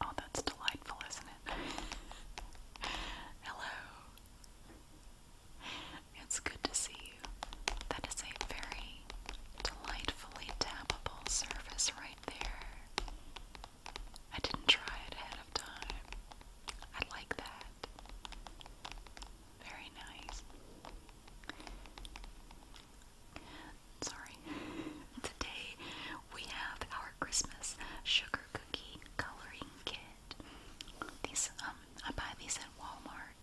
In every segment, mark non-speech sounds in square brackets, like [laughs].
Oh, that's delightful, isn't it? Hello. It's good to see you. That is a very delightfully tappable surface right there. I didn't try it ahead of time. I like that. Very nice. Sorry. [laughs] Today we have our Christmas sugar cookie coloring kit. These um I buy these at Walmart.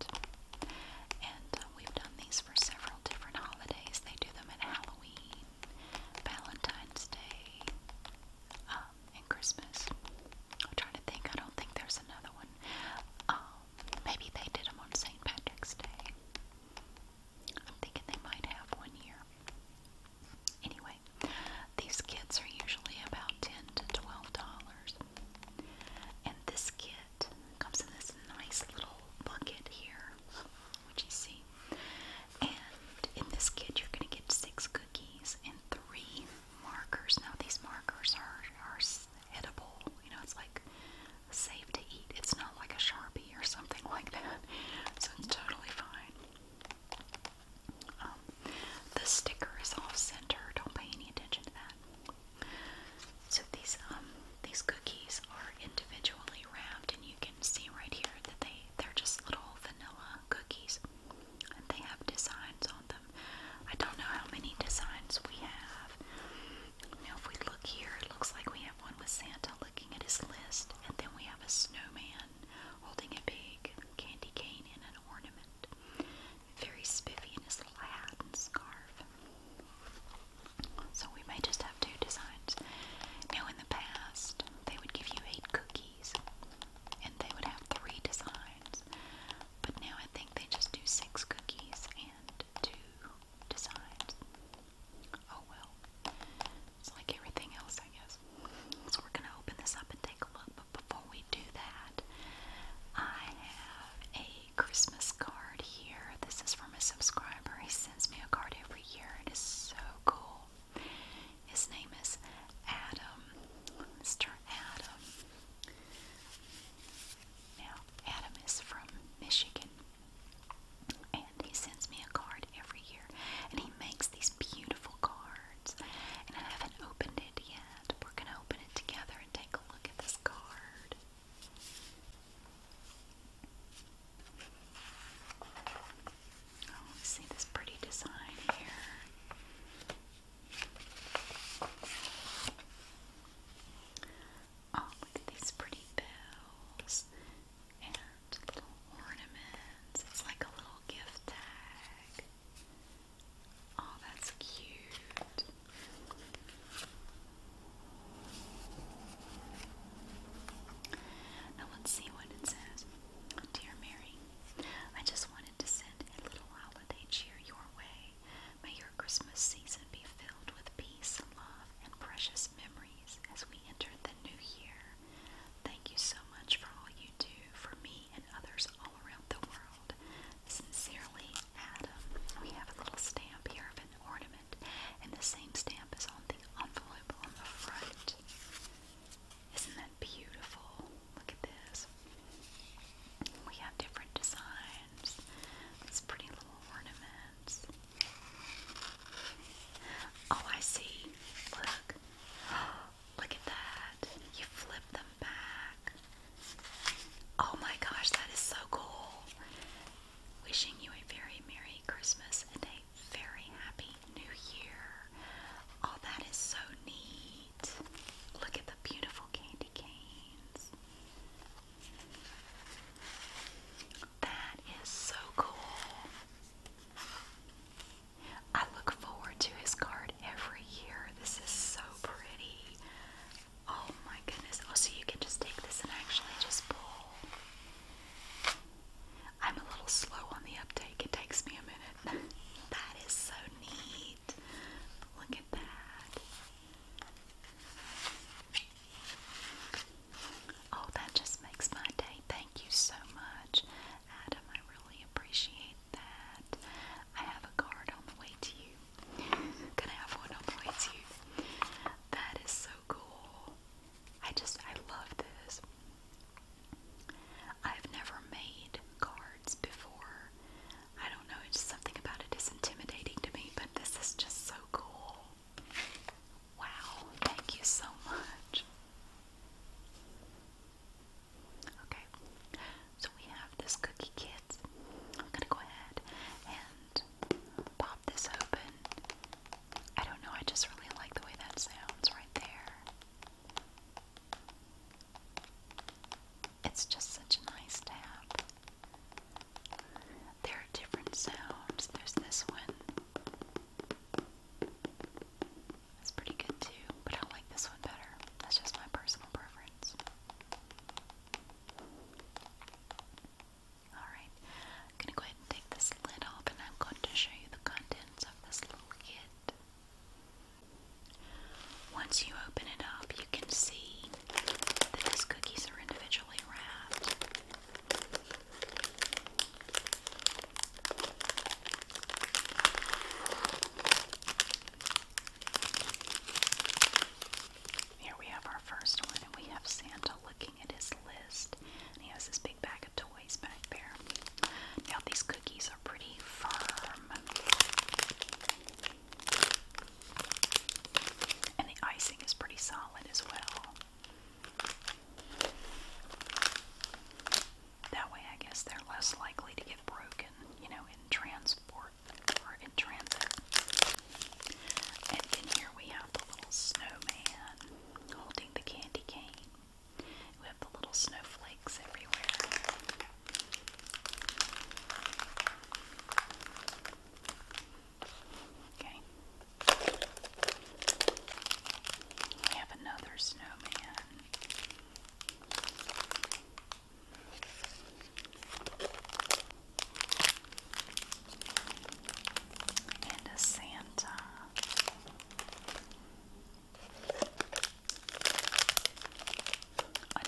And uh, we've done these for several different holidays. They do them at Halloween, Valentine's Day, uh, um, and Christmas. I'm trying to think. I don't think there's another one. Um, maybe they did them on St. Patrick's Day. I'm thinking they might have one year. Anyway, these kits are usually about ten to twelve dollars, and this kit comes in this nice little bucket here, which you see. And in this kit, you're going to get six cookies and three markers. Now these markers are are edible You know, it's like safe to eat. It's not like a sharpie or something [laughs] like that. So it's totally fine. Um, the sticker is off center. Don't pay any attention to that. So these um these cookies are individually wrapped, and you can see right here that they they're just little vanilla cookies and they have designs on them. I don't know how many designs we have. Now, if we look here, it looks like we have one with Santa looking at his list, and then we have a snowman holding a big candy cane and an ornament. Very spiffy in his little hat and scarf. So we may just have two designs. Now, in the past, they would give you eight cookies. And they would have three designs. But now I think they just do six cookies and two designs. Oh well. It's like everything else, I guess. So we're going to open this up and take a look. But before we do that, I have a Christmas card here. This is from a subscriber. He sends me a card every year. It is so cool. His name is Adam, Mr. Adam. Now, Adam is from Michigan, and he sends me a card every year, and he makes these beautiful cards. And I haven't opened it yet. We're gonna open it together and take a look at this card. Oh, see this pretty design here. Oh, look at these pretty bells and little ornaments. It's like a little gift tag. Oh, that's cute. Now let's see what it says. Dear Mary, I just wanted to send a little holiday cheer your way. May your Christmas season be filled with peace, love, and precious memories as we enter the new year. Thank you so much for all you do for me and others all around the world. Sincerely, Adam. We have a little stamp here of an ornament, and the same stamp is on the envelope on the front. Isn't that beautiful? Look at this. We have different designs. These pretty little ornaments. Oh, I see. Look. [gasps] Look at that. You flip them back. Oh my gosh, that is so cool. Wishing you a very Merry Christmas and a very Happy New Year. Oh, that is so neat. Look at the beautiful candy canes. That is so cool. I look forward to his card every year. This is so pretty. Oh my goodness. Oh, so you can just take this and actually just pull. I'm a little slow on the uptake. It takes me a minute. That is so neat. Look at that. Oh, that just makes my day. Thank you so much, Adam. I really appreciate that. I have a card on the way to you. Gonna have one on the way to you. That is so cool. I just, I love this. I've never made cards before. I don't know, it's something about it is intimidating to me, but this is just so cool. Wow, thank you so much. Okay, so we have this cookie kit. I'm gonna go ahead and pop this open. I don't know, I just really like the way that sounds right there. It's just such a nice tap. There are different sounds. There's this one. That's pretty good too, but I like this one better. That's just my personal preference. Alright, I'm going to go ahead and take this lid off and I'm going to show you the contents of this little kit. Once you open it up, you can see that these cookies are individually wrapped. Here we have our first one, and we have Santa looking at his list, and he has this big bag of toys. Now these cookies are pretty firm. And the icing is pretty solid as well. That way, I guess they're less likely to get broken, you know, in transport or in transit. And then here we have the little snowman holding the candy cane. We have the little snowflakes everywhere. Okay. We have another snowman. And a Santa.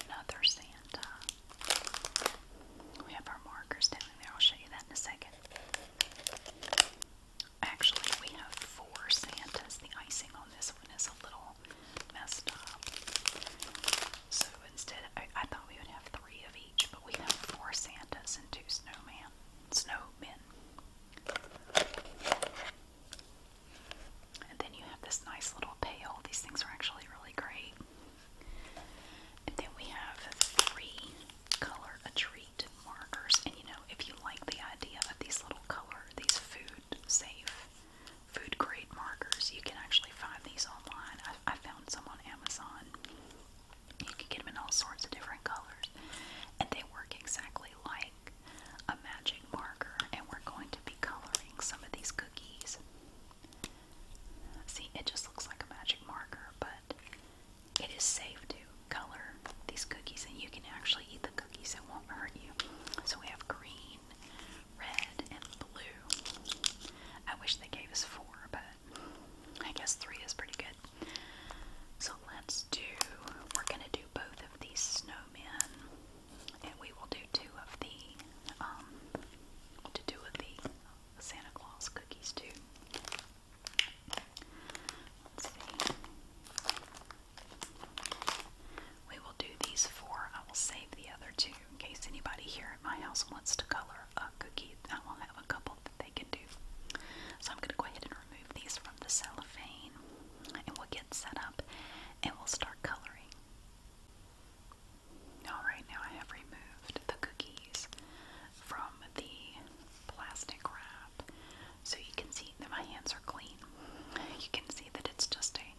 Another Santa. We have our markers down there. I'll show you that in a second. Actually, we have four Santas. The icing on this one is a little messed up. So instead, I, thought we would have three of each, but we have four Santas and two snowmen. snowmen. And then you have this nice little pail. These things are actually really great. And then we have three color a treat markers. And you know, if you like the idea of these little color, these food safe, food grade markers, you can actually find these online. I, I found some on Amazon. You can get them in all sorts of different colors. And they work exactly like a magic marker, and we're going to be coloring some of these cookies. See, it just looks like a magic marker, but it is safe to color these cookies, and you can actually eat the cookies, it won't hurt you. So we have green, red, and blue. I wish they gave us four, but I guess three is pretty good. So let's do, we're gonna do both these snowmen, and we will do two of the, um, to do with the Santa Claus cookies too. We will do these four. I will save the other two in case anybody here at my house wants to color a cookie. I will have a couple that they can do. So I'm going to go ahead and remove these from the cellophane and we'll get set up and we'll start coloring. Alright, now I have removed the cookies from the plastic wrap so you can see that my hands are clean. You can see that it's just a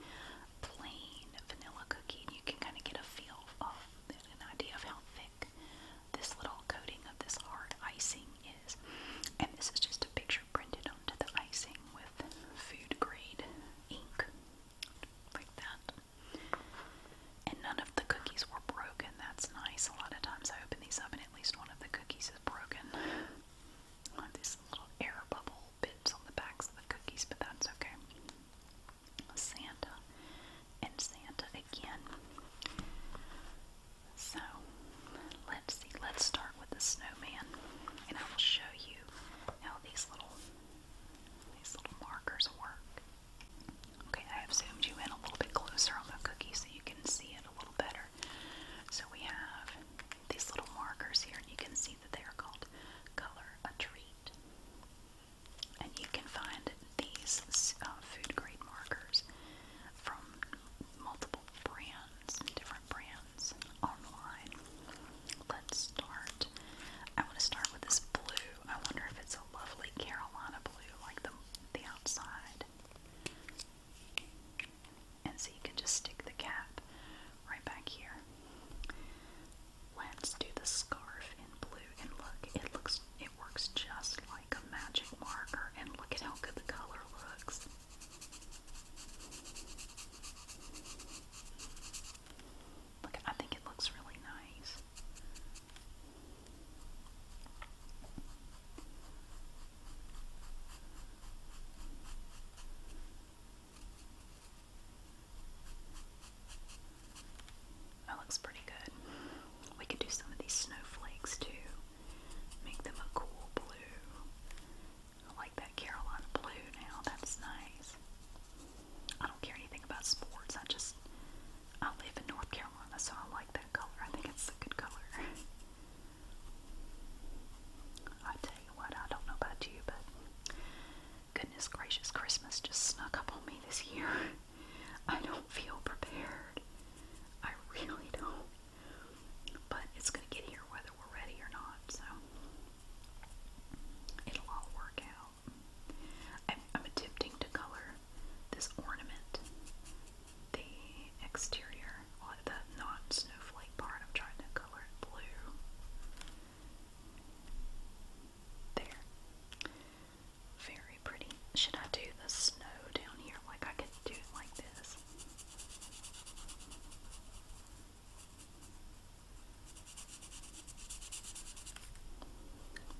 plain vanilla cookie, and you can kind of get a feel of an idea of how thick this little coating of this hard icing is. And this is just a picture printed onto the icing with food grade ink, like that. And none of the cookies were broken. That's nice. A lot of times I open these up and at least one of the cookies is broken. On these little air bubble bits on the backs of the cookies, but that's okay. Santa and Santa again. So let's see, let's start with the snowman and I will show you how these little these little markers work. Okay, I have zoomed you in a little bit closer on the cookie so you can see it a little better. So we have these little markers here and you can see that they are called color a treat. And you can find these uh, food grade markers from multiple brands, different brands online. Let's start. I want to start with this blue. I wonder if it's a lovely Carolina blue, like the the outside. And so you can just stick the cap right back here. Let's do the scarf in blue and look, it looks it works just like a magic marker and look at how good the color looks. Look, I think it looks really nice. That looks pretty good. We could do some of these snowflakes too. Make them a cool blue. I like that Carolina blue now. That's nice. I don't care anything about sports. I just, I live in North Carolina, so I like that color. I think it's a good color. [laughs] I tell you what, I don't know about you, but goodness gracious, Christmas just snuck up on me this year. [laughs] I don't feel prepared. I really don't. But it's going to get here whether we're ready or not, so it'll all work out. I'm, attempting to color this ornament, the exterior, the non snowflake part. I'm trying to color it blue. There. Very pretty. Should I do the snow down here? Like I could do it like this.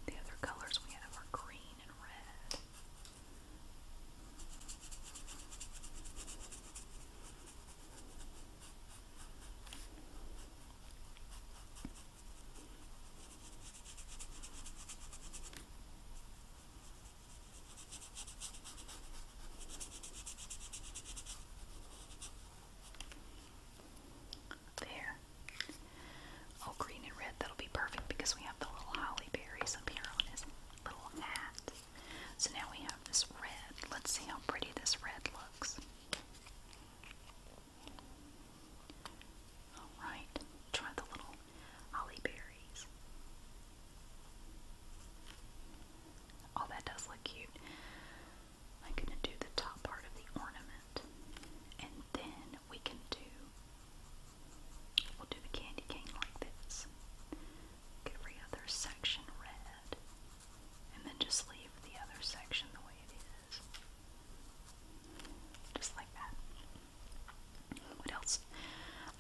The other colors we have are green and red. There. Oh, green and red, that'll be perfect because we have the little holly berries up here on his little hat. So now we have this red. Let's see how pretty this red looks. Alright, try the little holly berry berries. Oh, that does look cute. I'm going to do the top part of the ornament. And then we can do, we'll do the candy cane like this. Make every other section red. And then just leave the other section the way it is. Just like that. What else?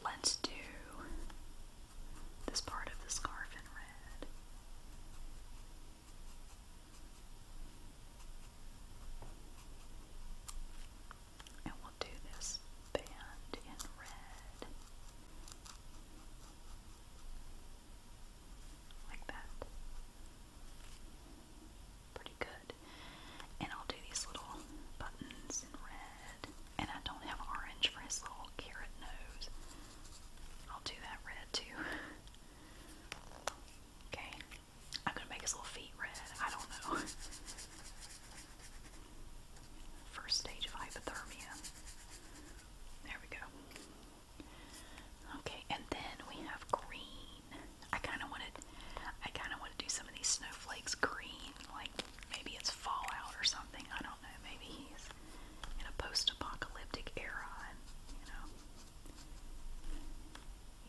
Let's do this part of the scarf in red. And we'll do this band in red. Like that. Pretty good. And I'll do these little buttons in red. And I don't have orange for his little carrot nose. I'll do that red too. Okay. I'm gonna make his little feet red. I don't know. First stage of hypothermia. There we go. Okay, and then we have green. I kind of wanted, I kind of want to do some of these snowflakes green, like Maybe it's Fallout or something. I don't know. Maybe he's in a post-apocalyptic era, and you know,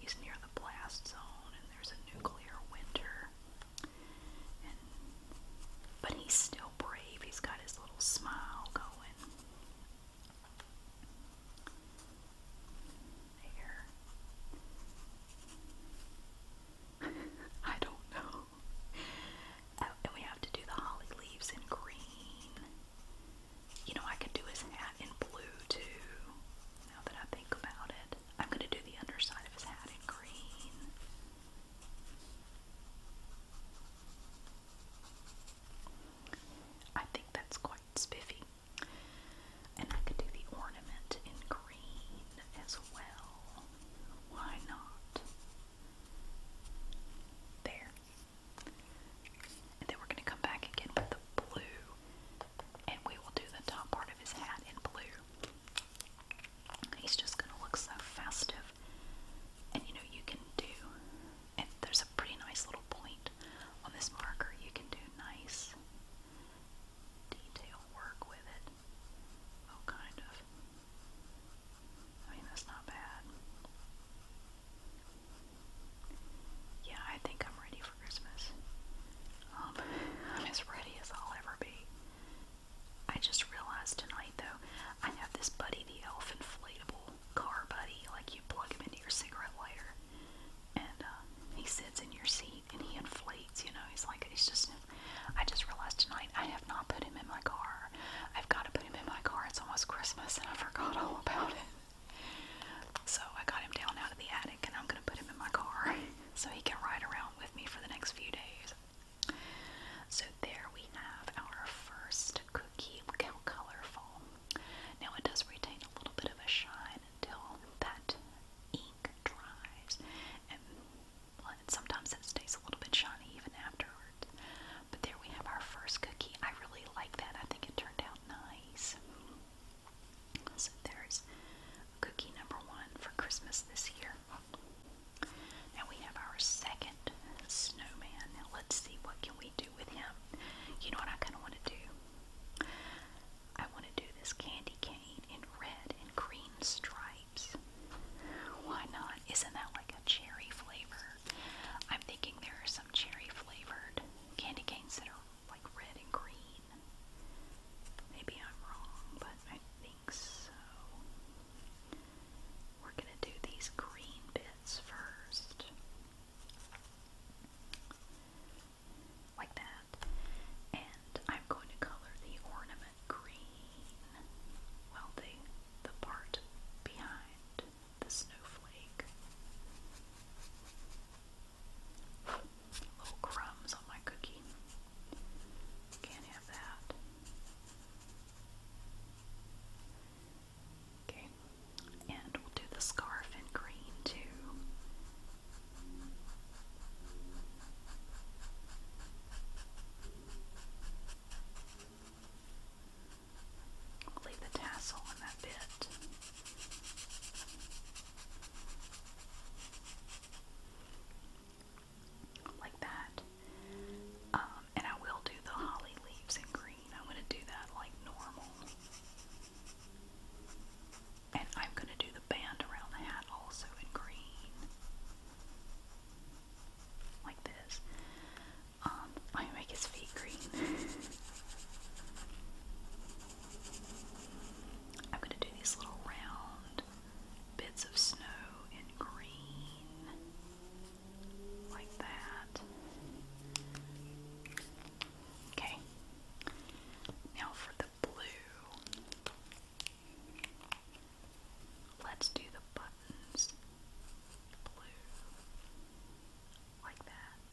he's near the blast zone, and there's a nuclear winter. And but he's still brave. He's got his little smile going. There. [laughs] I don't know. [laughs] Oh, and we have to do the holly leaves in green. You know, I could do his hat in blue too. Now that I think about it, I'm going to do the underside of his hat in green. I think that's quite spiffy. And I could do the ornament in green as well. Why not? There. And then we're going to come back again with the blue, and we will do the top part of his hat in blue. He's just going to look so festive. And you know, you can do, and there's a pretty nice little point on this marker, you can do nice detail work with it. Oh, kind of. I mean, that's not bad. Yeah, I think I'm ready for Christmas. Um, [laughs] I'm as ready as I'll ever be. I just realized tonight, though, I have this Buddy the Elf inflatable car buddy. Like, you plug him into your cigarette lighter, and uh, he sits in your seat and he inflates. You know, he's like he's just. I just realized tonight I have not put him in my car. I've got to put him in my car. It's almost Christmas and I forgot all about it. So I got him down out of the attic and I'm gonna put him in my car [laughs] so he can ride around with me for the next few days. So there we have our first cookie colorful. Now it does retain a little bit of a shine until that ink dries and sometimes it stays a little bit shiny even afterwards. But there we have our first cookie. I really like that. I think it turned out nice. So there's cookie number one for Christmas this year. Now we have our second snowman. Now let's see what can we do with him. You know what I kind of want to do? I want to do this candy can in red and green stripes. Why not? Isn't that like a cherry flavor? I'm thinking there are some cherry flavored candy canes that are like red and green. Maybe I'm wrong, but I think so. We're gonna do these green bits first. Like that. And I'm going to color the ornament green. Well, the, the part behind the snowflake. Little crumbs on my cookie. Can't have that. Okay, and we'll do the scarf in green too leave the tassel in that bit. Like that. Um, and I will do the holly leaves in green. I'm going to do that like normal. And I'm going to do the band around the hat also in green like this. Um, I make his feet green. [laughs] I'm gonna do these little round bits of snow in green, like that. Okay. Now for the blue. Let's do the buttons blue like that.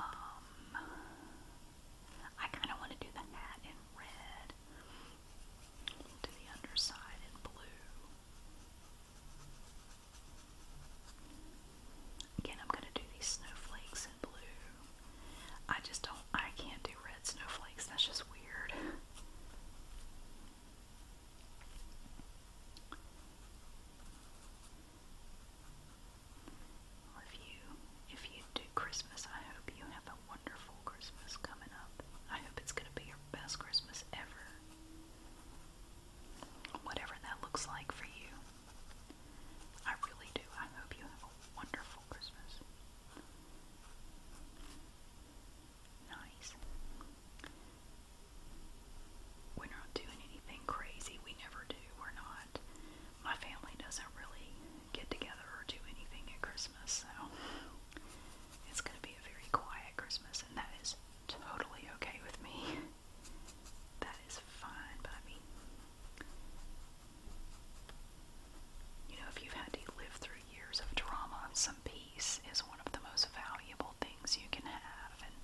Um I kinda wanna do the hat in red to the underside in blue. Again, I'm going to do these snowflakes in blue. I just don't, I can't do red snowflakes. That's just weird. if you, if you do Christmas, I hope you have a wonderful Christmas coming up. I hope it's going to be your best Christmas ever. Whatever that looks like for you. I really do. I hope you have a wonderful for Christmas. doing anything crazy. We never do. We're not. My family doesn't really get together or do anything at Christmas, so it's going to be a very quiet Christmas, and that is totally okay with me. That is fine by you know, if you've had to live through years of trauma, some peace is one of the most valuable things you can have, and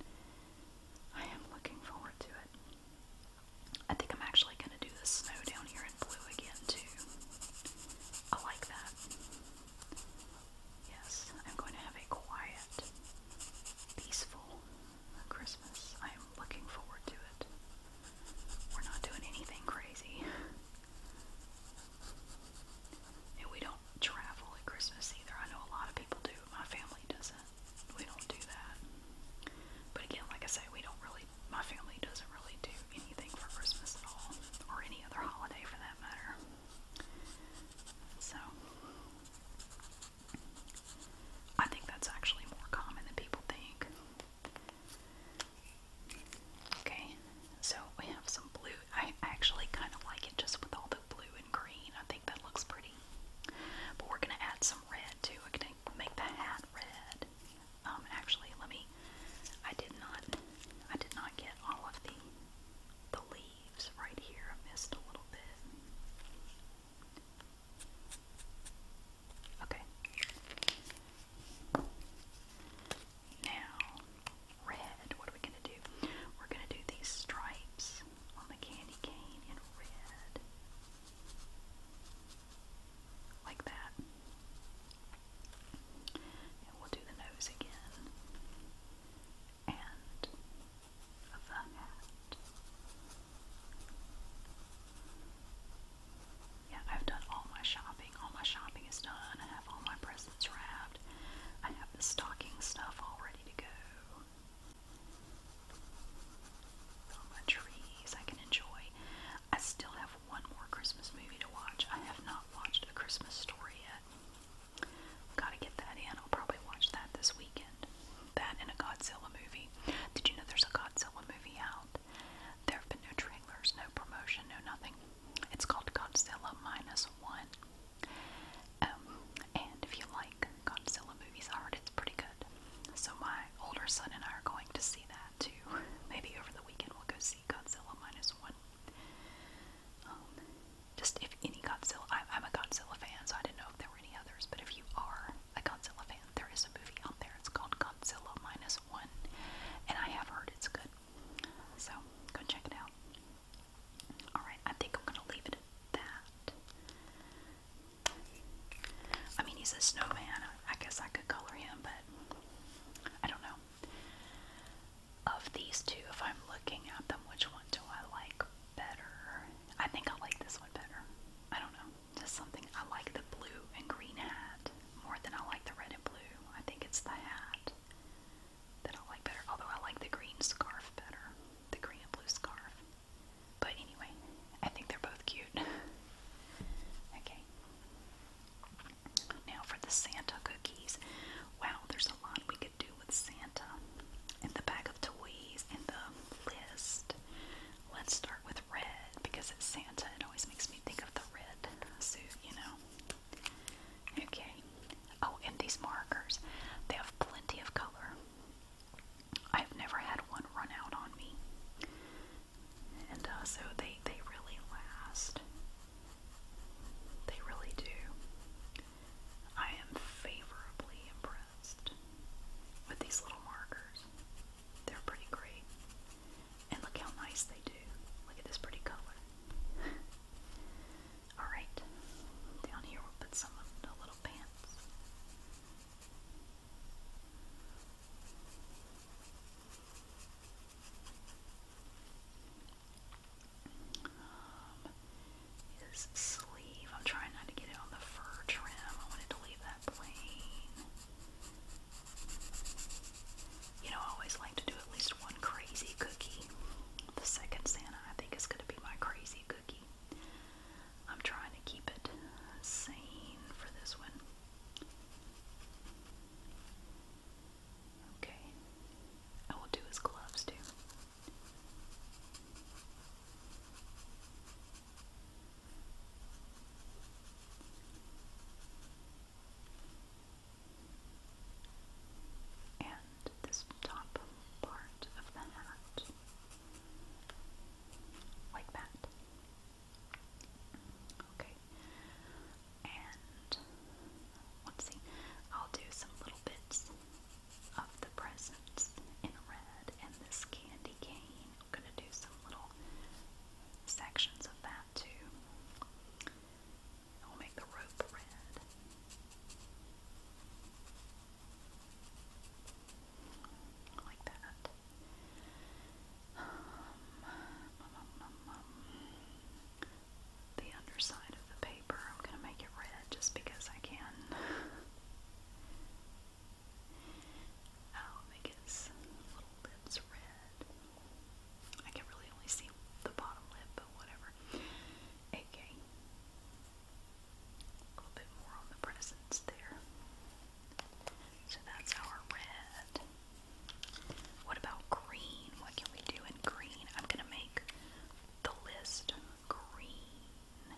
I am looking forward to it. I think I'm actually going to do the snow down here in blue again, too. I like that. Yes, I'm going to have a quiet, peaceful Christmas. I looking forward to it. We're not doing anything crazy. And we don't travel at Christmas either. I know a lot of people do. My family doesn't. We don't do that. But again, like I say, we don't really, my family doesn't really do anything for Christmas at all. Or any other holiday for that matter. So, I think that's actually more common than people think. Okay, so we have some blue. I actually kind of like it just with all the blue and green. I think that looks pretty. But we're gonna add some red too. We're gonna make the hat red. Um, actually, let me. I did not. I did not get all of the the leaves right here. I missed a little bit. Okay. Now, red. What are we going to do? We're going to do these stripes on the candy cane in red. Like that. And we'll do the nose again. And the hat. Yeah, I've done all my shopping. All my shopping is done. I have all my presents wrapped. I have the stocking stuff all ready to go. All my trees I can enjoy. I still have one more Christmas movie to watch. I have not watched A Christmas Story yet. Gotta get that in. I'll probably watch that this weekend. That and a Godzilla movie. Did you know there's a Godzilla movie out? There have been no trailers, no promotion, no nothing. It's called Godzilla Minus One. Um, and if you like Godzilla movies, I heard it's pretty good. So my older son and I are going to see that too. Maybe over the weekend we'll go see Godzilla Minus One. Um, just if any Godzilla, I, I'm a Godzilla fan, so I didn't know if there were any others, but if you are, Godzilla fan, there is a movie out there. It's called Godzilla Minus One, and I have heard it's good. So go check it out. Alright, I think I'm gonna leave it at that. I mean, he's a snowman. I guess I could color him, but I don't know. Of these two, if I'm looking at them, which one do I like better? I think I like this one better. I don't know. Just something. I like the blue and green hat more than I like the red and blue. I think it's the hat that I like better. Although I like the green scarf better. The green and blue scarf. But anyway, I think they're both cute. [laughs] okay. Now for the Santa cookies. Wow, there's a lot we could do with Santa. And the bag of toys and the list. Let's start with with red because it's Santa. It always makes me think of the red suit, you know. Okay. Oh, and these markers. They have plenty of color. I've never had one run out on me. And uh, so they, they really last. They really do. I am favorably impressed with these little markers. They're pretty great. And look how nice they do. Look at this pretty color. [laughs] Alright, down here we'll put some of the little pants. Um, sleeve. I'm trying not to get it on the fur trim. I wanted to leave that plain. You know, I always like to do at least one crazy cookie. The second Santa, I think, is going to be my crazy cookie. I'm trying to keep it sane for this one. Okay. I will do his gloves too and this top part of the hat, like that. Okay, and let's I'll do some little bits of the presents in red and this candy cane I'm going to do some little sections of that too. I'll make the rope red. Like that. the underside of the paper, I'm going to make it red just because I can. Oh, make his little lips red. I can really only see the bottom lip, but whatever. Okay. A little bit more on the presence there. So that's our red. What about green? What can we do in green? I'm going to make the list green.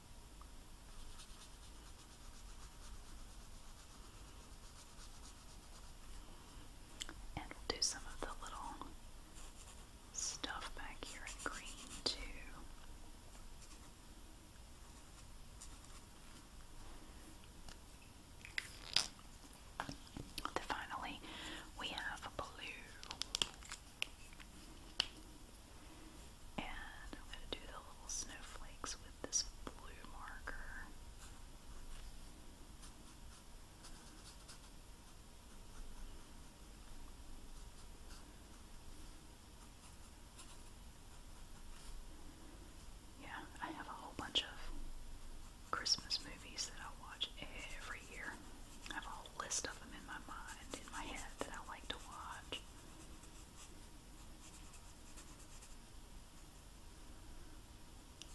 And we'll do some of the little stuff back here in green too. Then finally, we have blue. And I'm going to do the little snowflakes with this blue marker. Yeah, I have a whole bunch of Christmas movies that I watch every year. I have a list of them in my mind, in my head, that I like to watch.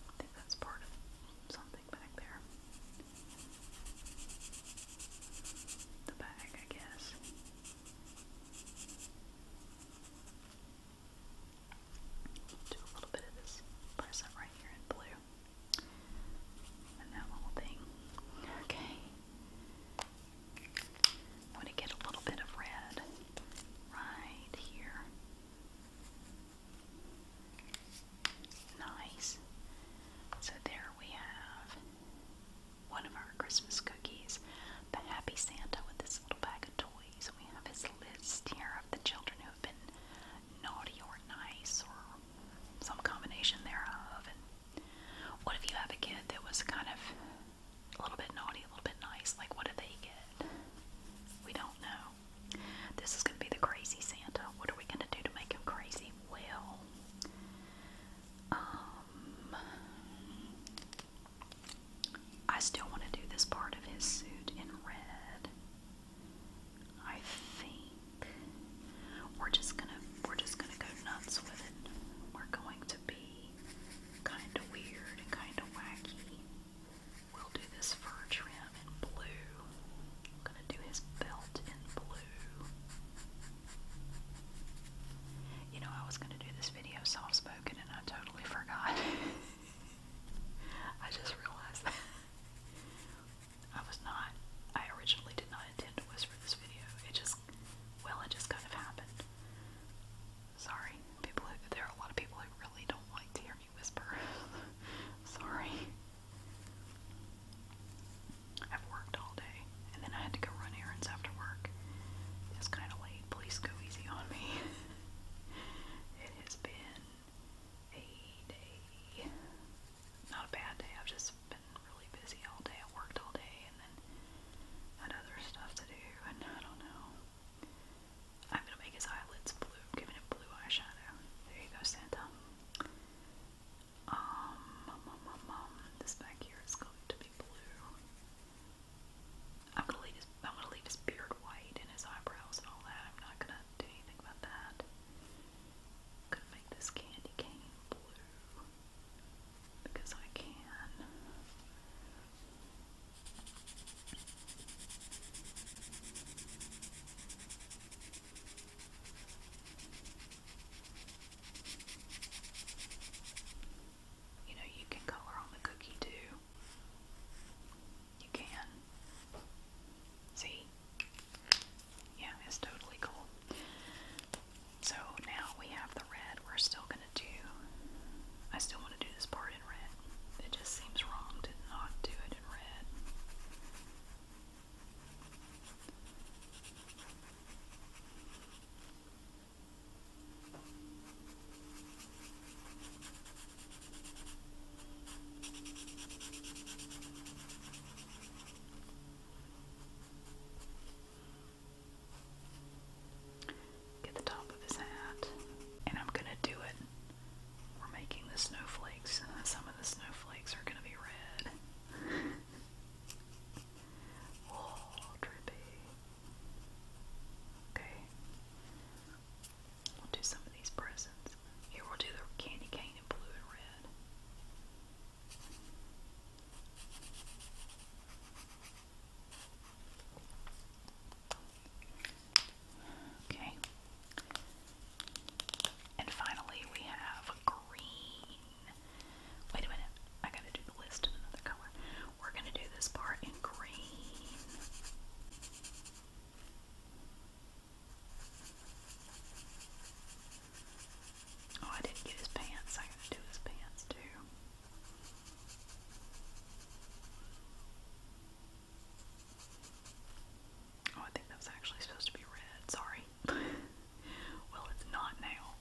I think that's part of something back there. The bag, I guess. Do a little bit of this present right here in blue. And that little thing. Okay. I'm going to get a little bit of red right here. Nice. So there we have one of our Christmas cookies, the Happy Santa with this little bag of toys. We have his list here of the children who have been naughty or nice or some combination thereof. What if you have a kid that was kind of a little bit naughty, a little bit nice? Like, what do they get? We don't know. This is going to be the crazy Santa. What are we going to do to make him crazy? Well, um, I still want to do this part of his suit in red. I think. We're just gonna we're just gonna go nuts with it. We're going to be kinda weird and kinda wacky. We'll do this fur trim in blue. I'm gonna do his belt in blue. You know, I was gonna do this video soft spoken and I totally forgot. [laughs] I just realized that. [laughs] I was not, I originally did not intend to whisper this video. It just just, well, it just kind of happened. Sorry, people. there are a lot of people who really don't like to hear me whisper. [laughs] Sorry. I've worked all day, and then I had to go run errands after work. It's kind of late. Please go easy on me. [laughs] it has been a day, not a bad day. I've just really busy all day. I worked all day and then had other stuff to do, and I don't know. I'm gonna make his eyelids blue. giving him blue eyeshadow. There you go, Santa. Um, this back here is going to be blue. I'm gonna leave his I'm gonna leave his beard white and his eyebrows and all that. I'm not gonna do anything about that. gonna make this candy cane blue because I can. You know, you can color on the cookie too. You can. See? Yeah, it's totally cool. So now we have the red. We're still going to do, I still want to do this part in red. It just seems wrong to not do it in red. Get the top of his hat. And I'm gonna do it. We're making the snowflakes. Some of the snowflakes are gonna be red. [laughs] oh, drippy. Okay. We'll do some of these presents. Here we'll do the candy cane in blue and red. Okay. And finally, we have green. Wait a minute. I gotta do the list in another color. We're gonna do this part in green. Oh, I didn't get his pants. I gotta do his pants too. Oh, I think that was actually supposed to be red. Sorry. [laughs] well, it's not now.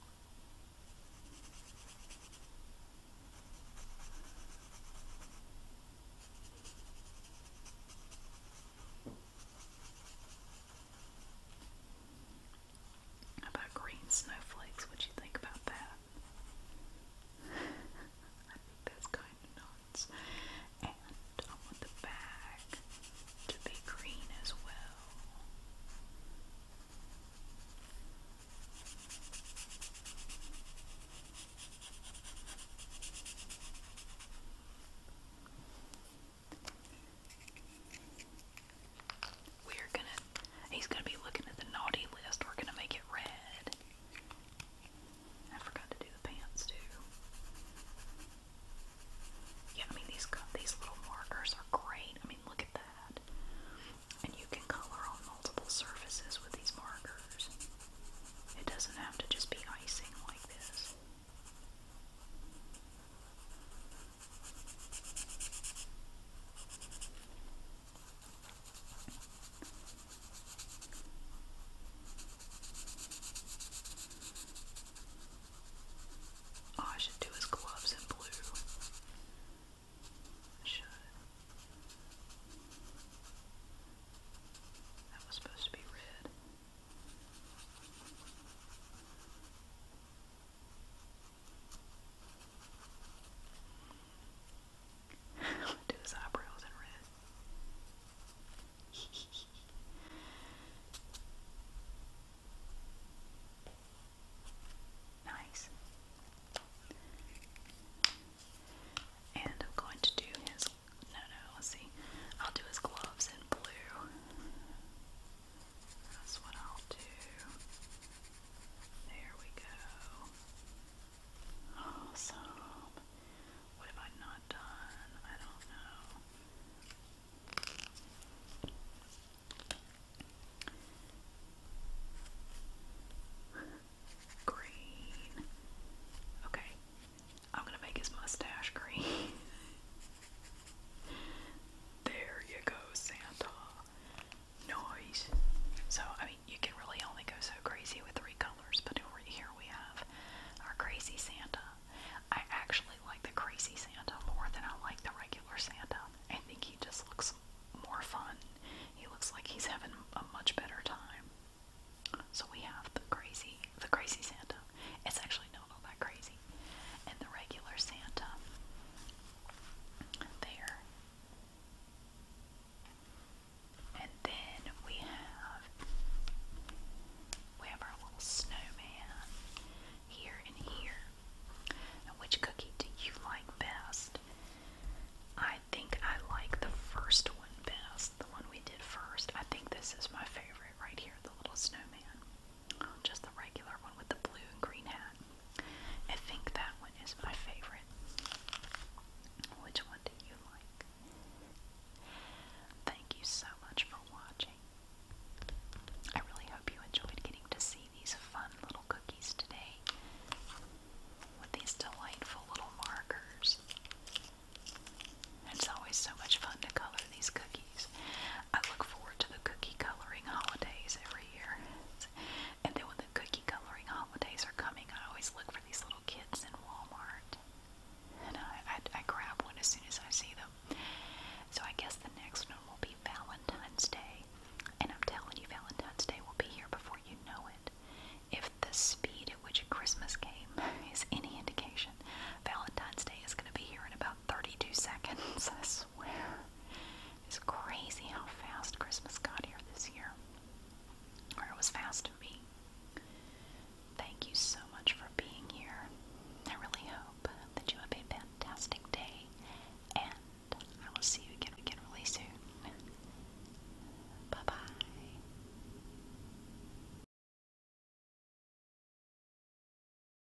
How about green snowflakes? What do you think about that? I think that's kind of nuts. And I want the bag to be green as well. We're gonna. He's gonna be looking at the naughty list. We're gonna make it red. I forgot to do the pants too. Yeah, I mean these these little markers are great. I mean look at that. And you can color on multiple surfaces with these markers. It doesn't have to just be icing like this. Oh, I should do his gloves in blue. should. That was supposed to be red. Do his eyebrows in red. nice. And I'm going to do his. No, no, let's see. I'll do his gloves in blue. That's what I'll do. There we go. Awesome. What have I not done? I don't know. [laughs] Green. Okay. I'm gonna make his mustache green. [laughs] There you go, Santa. Nice. So, I mean, you can really only go so crazy with three colors, but here we have our crazy Santa. I actually like the crazy Santa more than I like the regular Santa. I think he just looks more fun. He looks like he's having a much better time. So we have the crazy, the crazy Santa. It's actually not all that crazy and the regular Santa. There. And then we have we have our little snowman here and here. which cookie do you like best? I think I like the first one best, the one we did first. I think this is my favorite right here, the little snowman just the regular one with the blue and green hat. I think that one is my favorite. Which one do you like? Thank you so much for watching. I really hope you enjoyed getting to see these fun little cookies today with these delightful little markers. It's always so much fun to color these cookies. I look forward to the cookie coloring holidays every year. And then when the cookie coloring holidays are coming, I always look for these little kits in Walmart. And I grab one as soon as I see them. So I guess the next one will be Valentine's Day. And I'm telling you, Valentine's Day will be here before you know it. If the speed at which Christmas came [laughs] is any indication, Valentine's Day is going to be here in about 32 seconds, I swear. It's crazy how fast Christmas got here this year. Or it was fast to me. Thank you so much for being here. I really hope that you have a fantastic day, and I will see you again, again really soon. Bye bye.